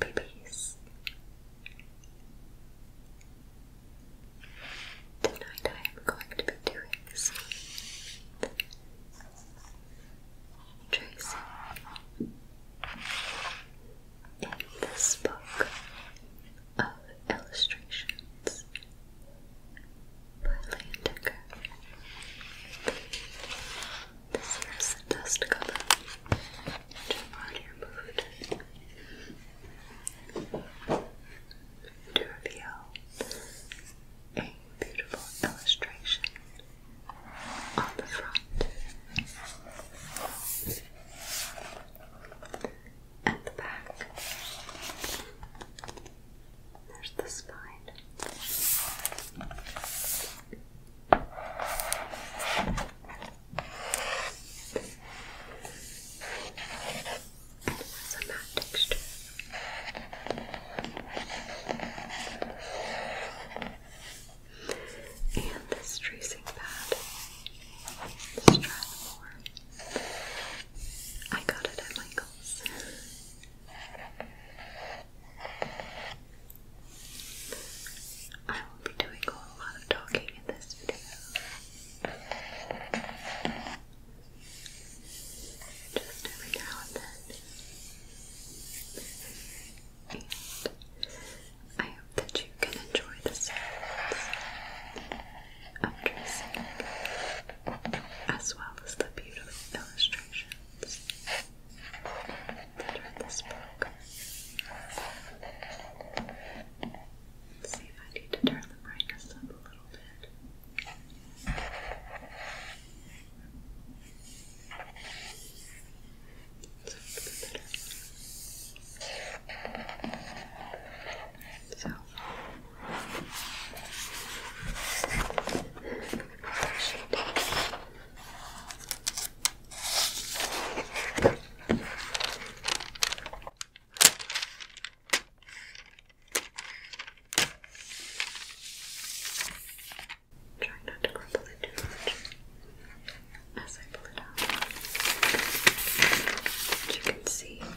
My babies. Tonight I am going to be doing some tracing in this book of illustrations by Leon this here's the dust cover. Which i removed. To reveal a beautiful illustration on the front and the back. There's the spine. That's a And this tracing pad. Let's try more. I got it at Michael's. I will be doing a lot of talking in this video. Just every now and then. I hope that you can enjoy the sounds of dressing as well as the beautiful illustrations that with this book. see if I need to turn the brightness up a little bit. So, Try not to crumple it too much as I pull it out. As you can see how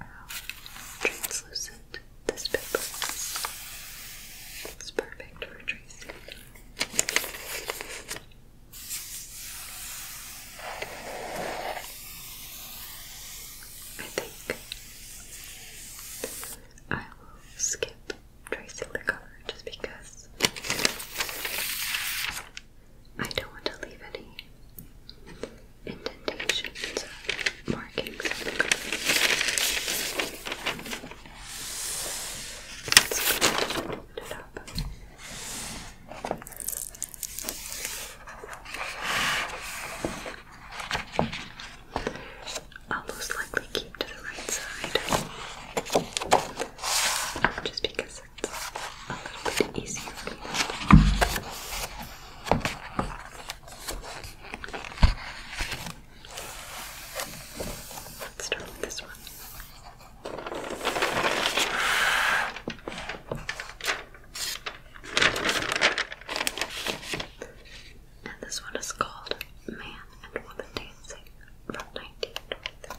um, translucent this paper. It's perfect for tracing. I think I will skip tracing the cover just because I don't want to leave any indentations markings most likely keep to the right side just because it's a little bit easier Let's start with this one. And this one is called Man and Woman Dancing from 1923.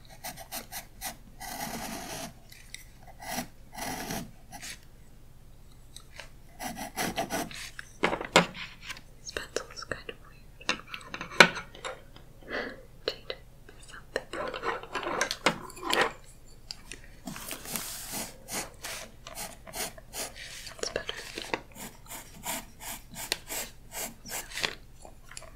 This pencil is kind of weird. Jade, something. That's better. So,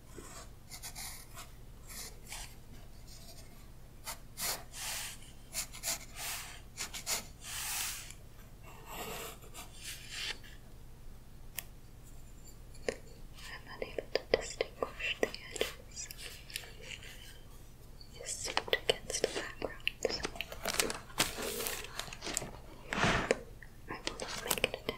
I'm unable to distinguish the edges. Is soaked against the background. I will not make an attempt.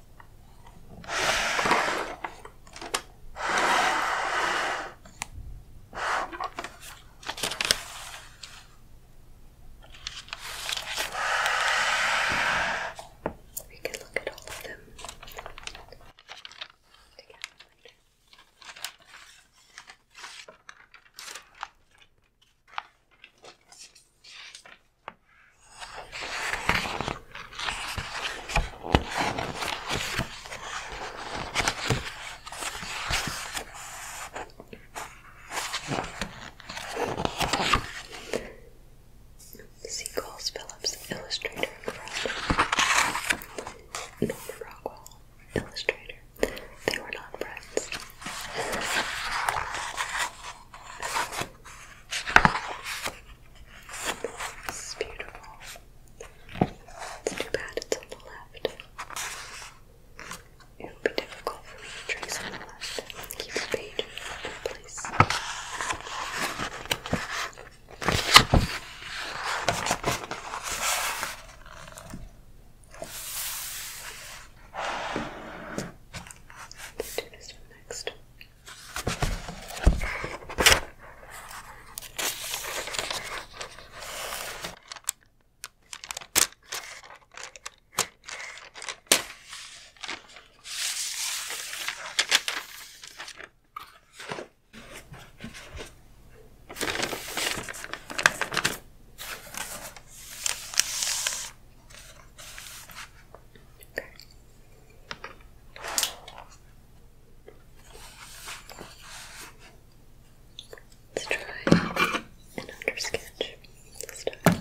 We can look at all of them together later. Seagulls Phillips, illustrator and friend. Norman Rockwell, illustrator. They were not friends. It's beautiful. too bad it's on the left. It would be difficult for me to trace on the left. Keep the page in place. Let's do this one next. Okay. Let's try an under sketch this time. Okay.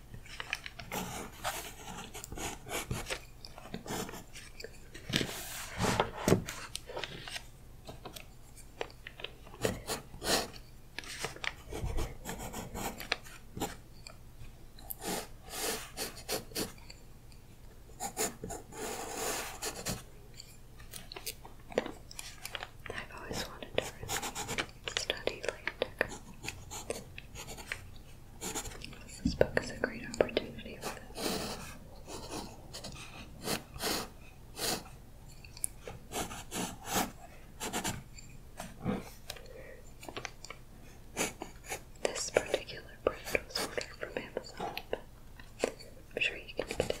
I've always wanted to study latex. This book is a great opportunity for this. This particular brand was ordered from Amazon, I'm sure you can get it.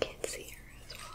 Can't see her as well.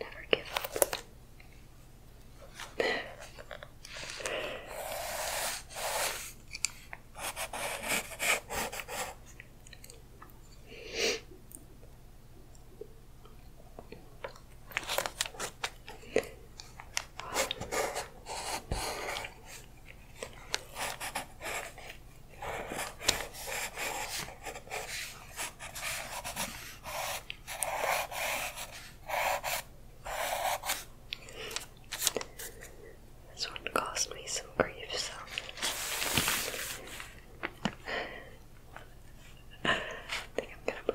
Never give up. This one cost me some grief, so I think I'm gonna put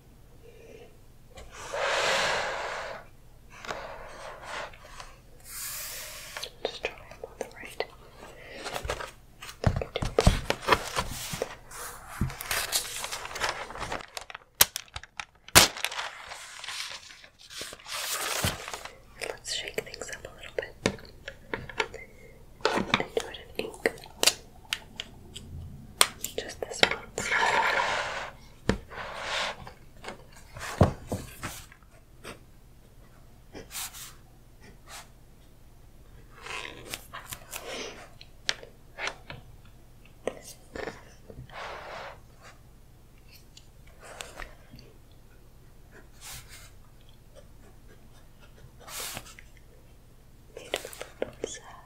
Just try them on the right. Let's shake things up a little bit do it in ink. Just this one. Beautiful little serve.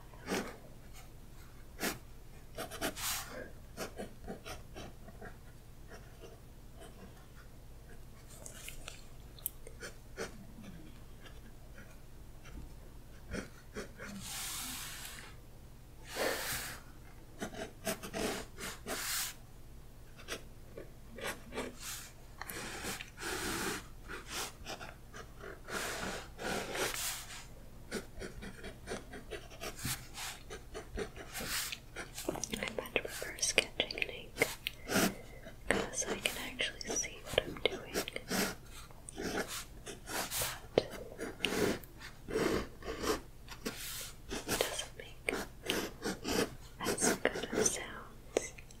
I much prefer sketching ink because I can actually see what I'm doing. But it doesn't make as good of sounds.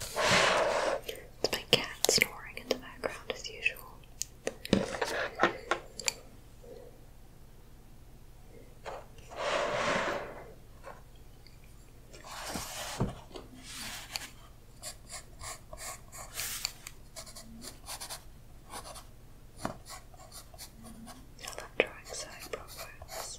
It's my cat snoring in the background as usual. Now that drawing side progress.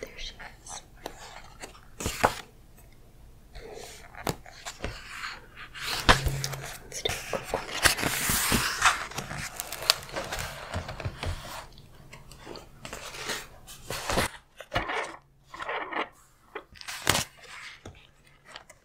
There she is. Let's do a quick one.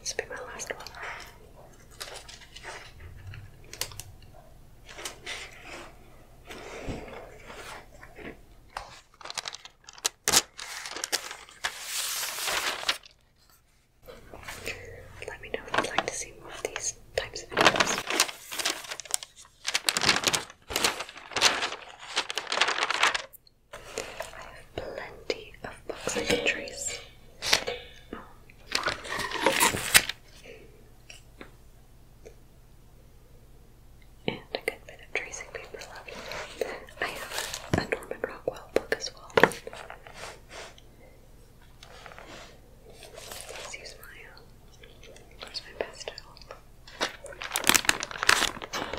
This will be my last one. Let me know if you'd like to see more of these types of videos. I have plenty of books I can And a good bit of tracing paper left. I have a Norman Rockwell book as well. As you smile, that's my best help. Thank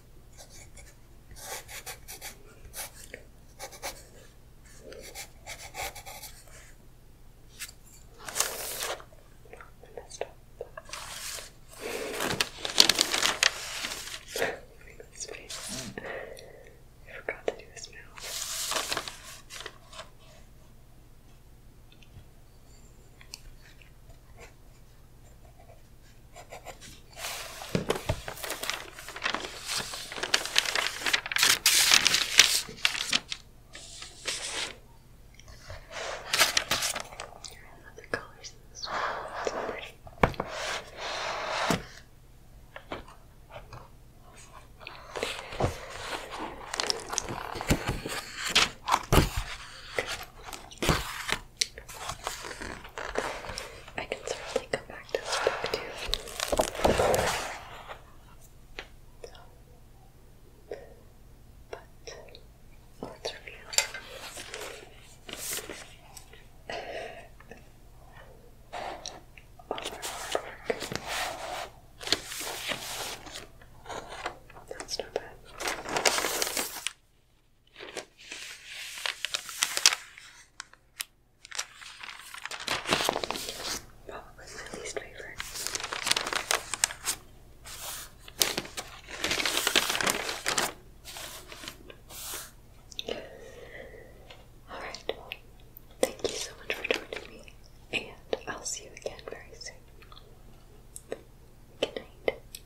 messed up. Look at this face. Mm. I forgot to do this now. I love the colors in this one. It's so pretty. I can certainly come back to this book too. But let's review. All That's not bad. What my least favorite? Alright, thank you so much for joining me, and I'll see you again very soon. Good night.